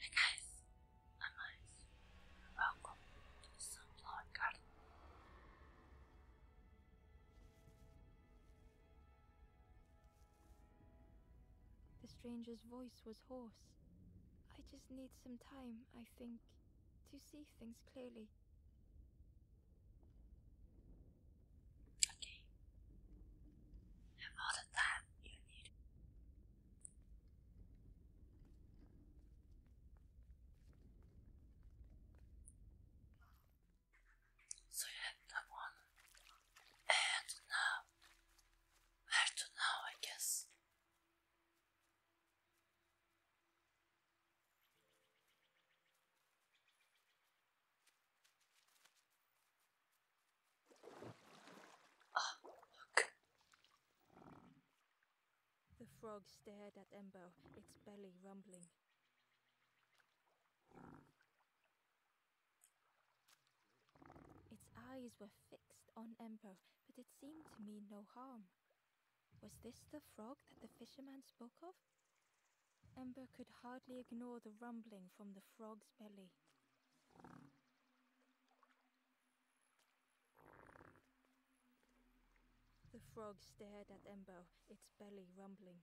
Hey guys, I'm Ice. Welcome to the Sunflower Garden. The stranger's voice was hoarse. I just need some time, I think, to see things clearly. Okay. Have all the time you need. So you have that And now, where now, I guess? The frog stared at Embo, its belly rumbling. Its eyes were fixed on Embo, but it seemed to mean no harm. Was this the frog that the fisherman spoke of? Ember could hardly ignore the rumbling from the frog's belly. The frog stared at Embo, its belly rumbling.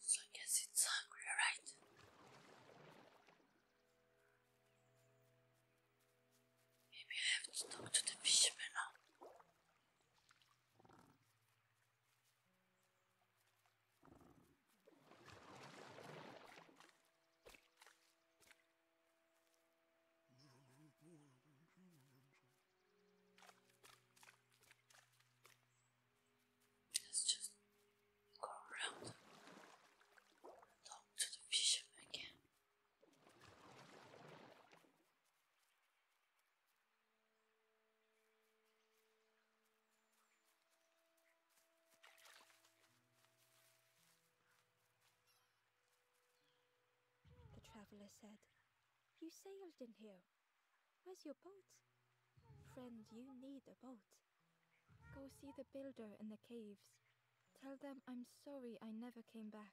So I it's hungry, right? Maybe I have to talk to the fisherman Let's just go around and talk to the fisherman again. The traveller said, You sailed in here. Where's your boat? Friend, you need a boat. Go see the builder in the caves. Tell them I'm sorry I never came back.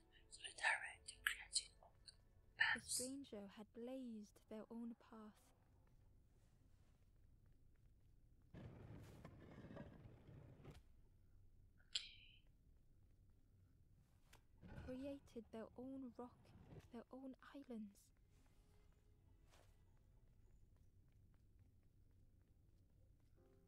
the stranger had blazed their own path. Created their own rock, their own islands.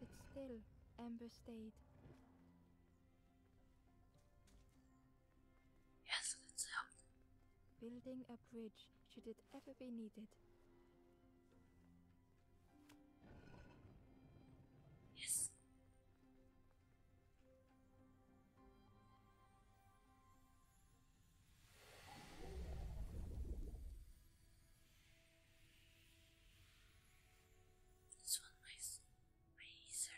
But still, Amber stayed. Yes, let's Building a bridge should it ever be needed. Yes. This one, my razor.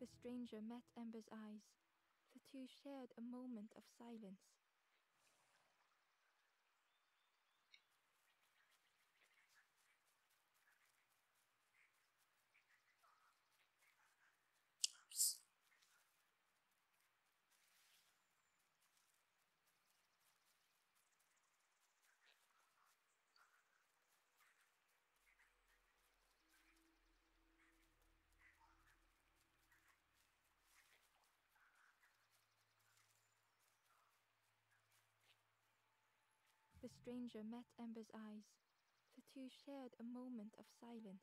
The stranger messed met Amber's eyes. The two shared a moment of silence. The stranger met Ember's eyes. The two shared a moment of silence.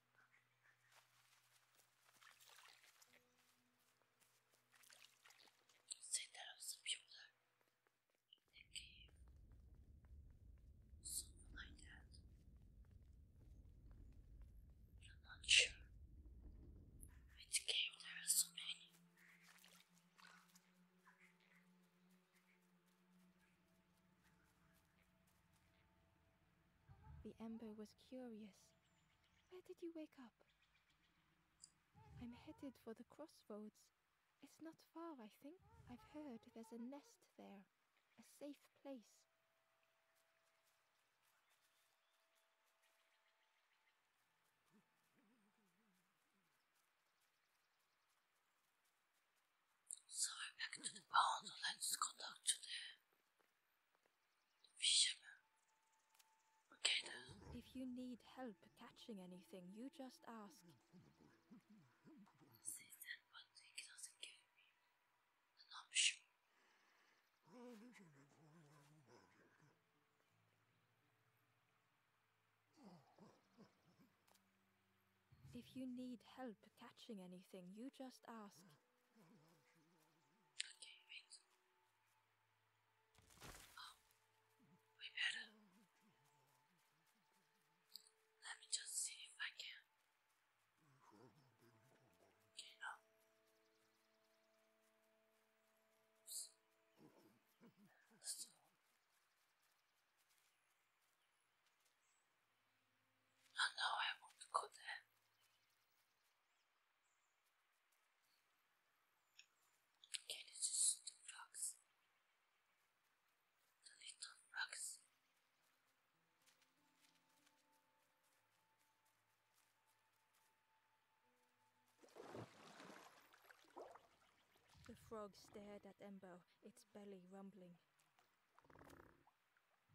Say that was a builder that gave something like that. I'm not sure. Which game there are so many. The ember was curious where did you wake up? I'm headed for the crossroads. It's not far, I think. I've heard there's a nest there, a safe place. So back to the barn. Let's go back to there. If you need help catching anything, you just ask. If you need help catching anything, you just ask. Okay, wait. Oh, we better. Let me just see if I can. Okay, no. Oops. Oh no, I won't go there. Okay, this is the rocks. The little rocks. The frog stared at Embo, its belly rumbling.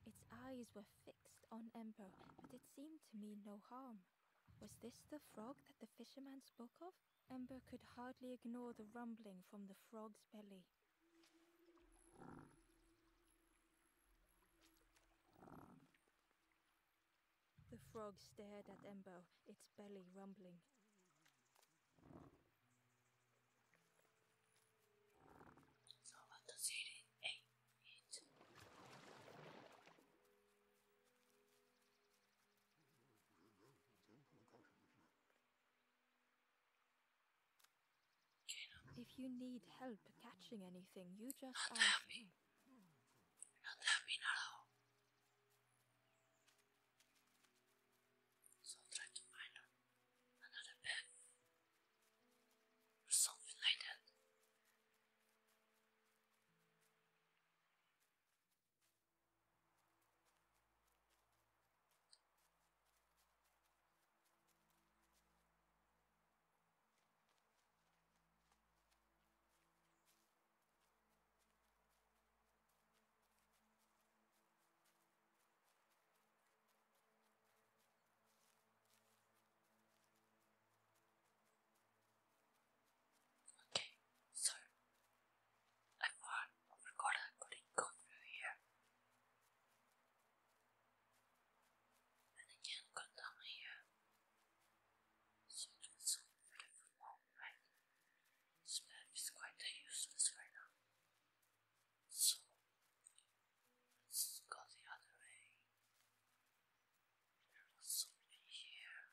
Its eyes were fixed on Ember, but it seemed to me no harm. Was this the frog that the fisherman spoke of? Ember could hardly ignore the rumbling from the frog's belly. The frog stared at Ember, its belly rumbling. If you need help catching anything, you just not ask me. Not helping at all. So try to find another path or something like that. Okay, so I thought I forgot I couldn't here. And I can't here. So that's all for the right? This is quite useless right now. So Let's go the other way. There was something here.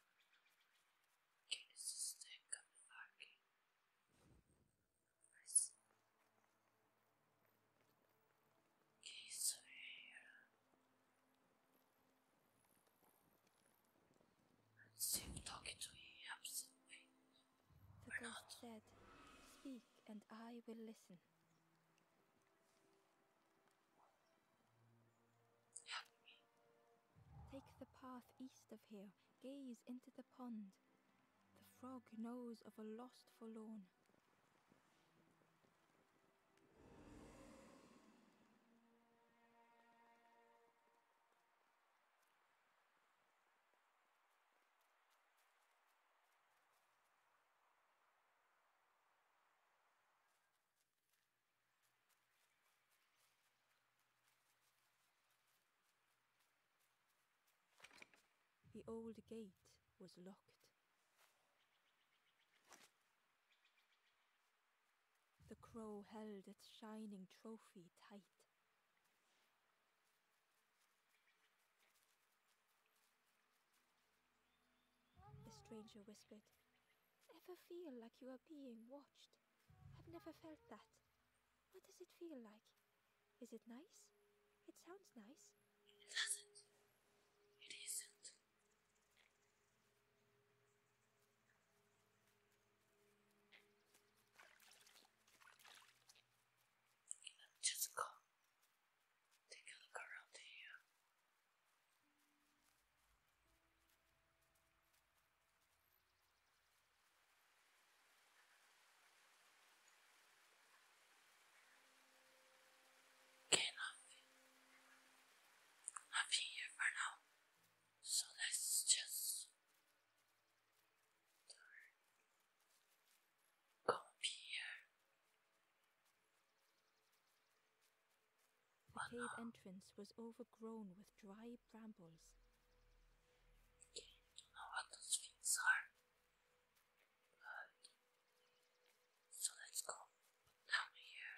Okay, this is the Kamilaki. Nice. Okay, so here. let talking to him helps. Wait. not. Speak and I will listen. Take the path east of here. Gaze into the pond. The frog knows of a lost forlorn. The old gate was locked. The crow held its shining trophy tight. The stranger whispered. Ever feel like you are being watched? I've never felt that. What does it feel like? Is it nice? It sounds nice. It doesn't. It isn't. just gone. Take a look around here. Okay, nothing. Nothing here for now. So let's just turn Come The cave entrance was overgrown with dry brambles. I don't know what those things are. so let's go down here.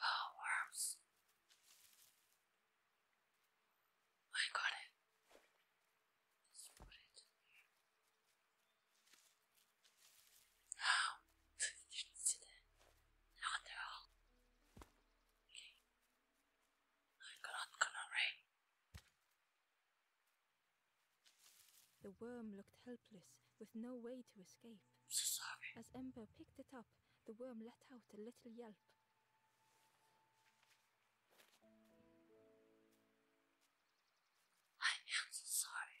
Oh, worms. I got it. Let's put it in here. Oh, the worm looked helpless, with no way to escape. I'm so sorry. As Ember picked it up, the worm let out a little yelp. I am so sorry.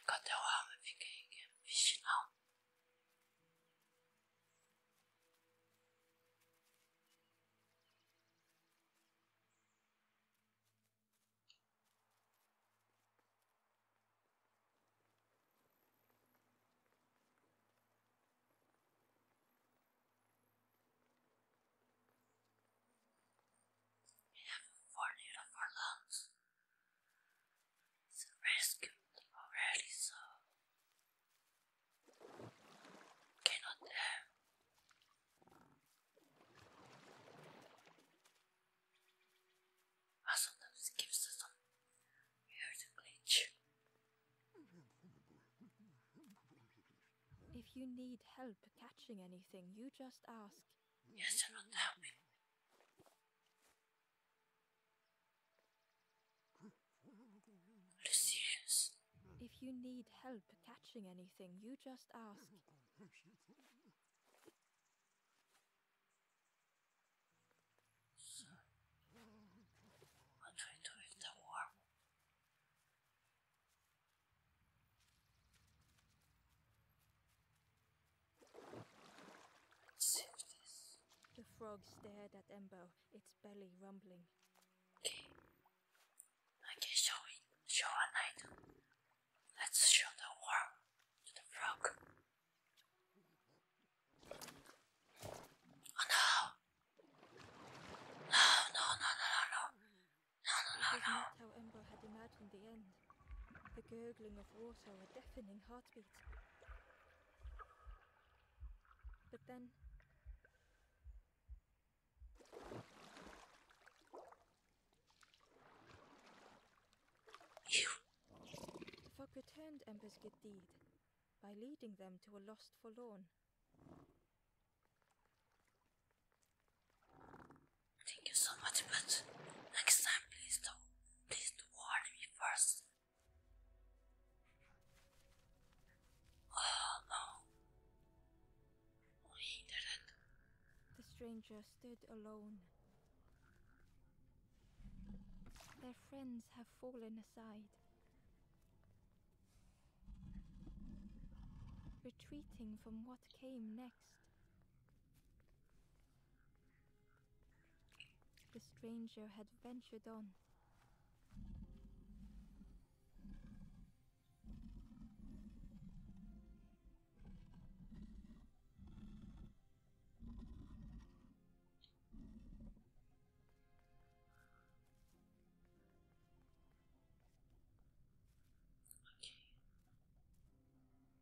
Enquanto eu amo, fica aí vigial. We have four little four lungs. The rescued already so cannot have I sometimes gives us some weird glitch. If you need help catching anything, you just ask. Yes, I'm not Lucius. If you need help catching anything, you just ask. So, what do we do the frog stared at Embo, its belly rumbling. I can show it. Show an item. Let's show the world to the frog. Oh No, no, no, no, no, no. No, no, no, How Umbra had imagined the end. The gurgling of water, a deafening heartbeat. But then You. Fog returned Ember's good deed by leading them to a lost forlorn. Thank you so much, but next time please do please warn me first. Oh no. We didn't. The stranger stood alone. Their friends have fallen aside. Retreating from what came next. The stranger had ventured on.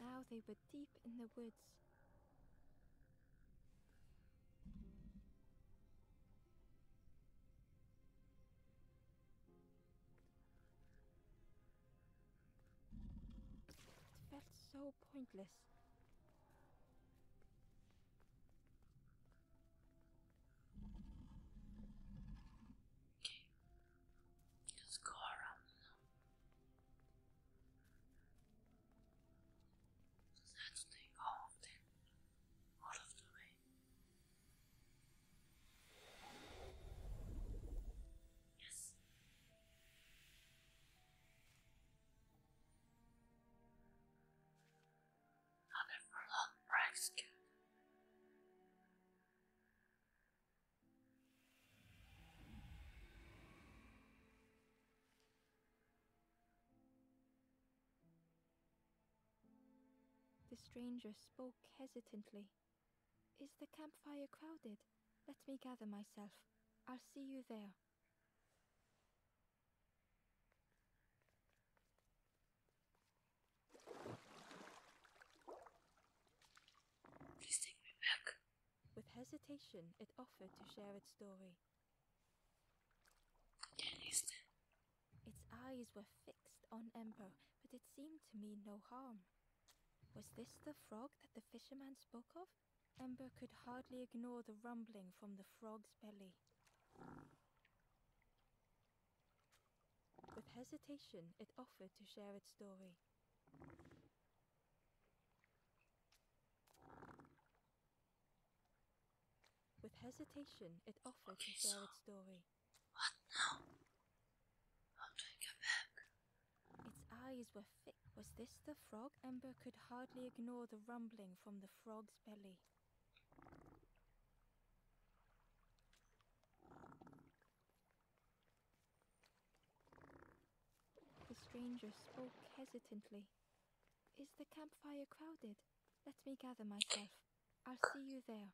Now they were deep in the woods. It felt so pointless. Just go around now. Let's all of them, all the way. Yes. Not a prolonged price good. The stranger spoke hesitantly. Is the campfire crowded? Let me gather myself. I'll see you there. Please take me back. With hesitation, it offered to share its story. Its eyes were fixed on Ember, but it seemed to me no harm. Was this the frog that the fisherman spoke of? Ember could hardly ignore the rumbling from the frog's belly. With hesitation, it offered to share its story. With hesitation, it offered to share its story. What now? How did I get back? Its eyes were thick. Was this the frog? Ember could hardly ignore the rumbling from the frog's belly. The stranger spoke hesitantly. Is the campfire crowded? Let me gather myself. I'll see you there.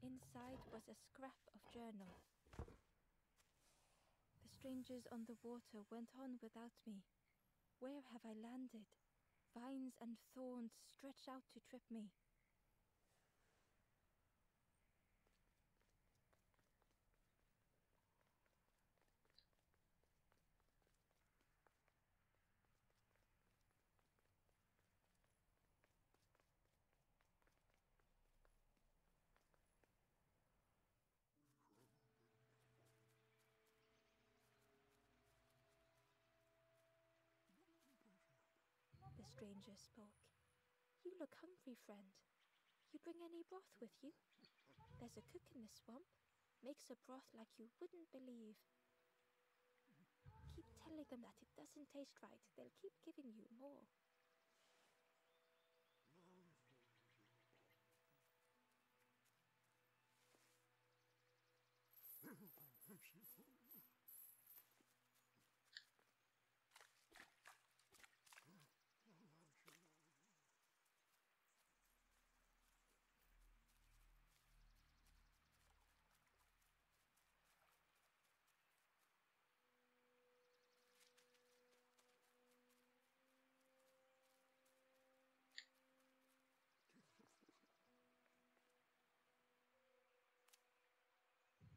Inside was a scrap of journal. The strangers on the water went on without me. Where have I landed? Vines and thorns stretch out to trip me. The stranger spoke. You look hungry, friend. You bring any broth with you? There's a cook in the swamp. Makes a broth like you wouldn't believe. Keep telling them that it doesn't taste right. They'll keep giving you more.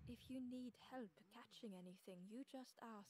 If you need help catching anything, you just ask.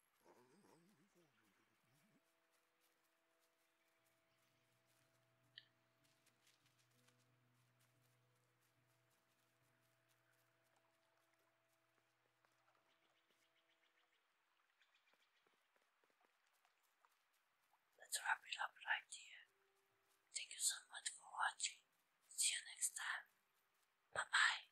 Let's wrap it up right here. Thank you so much for watching. See you next time. Bye bye.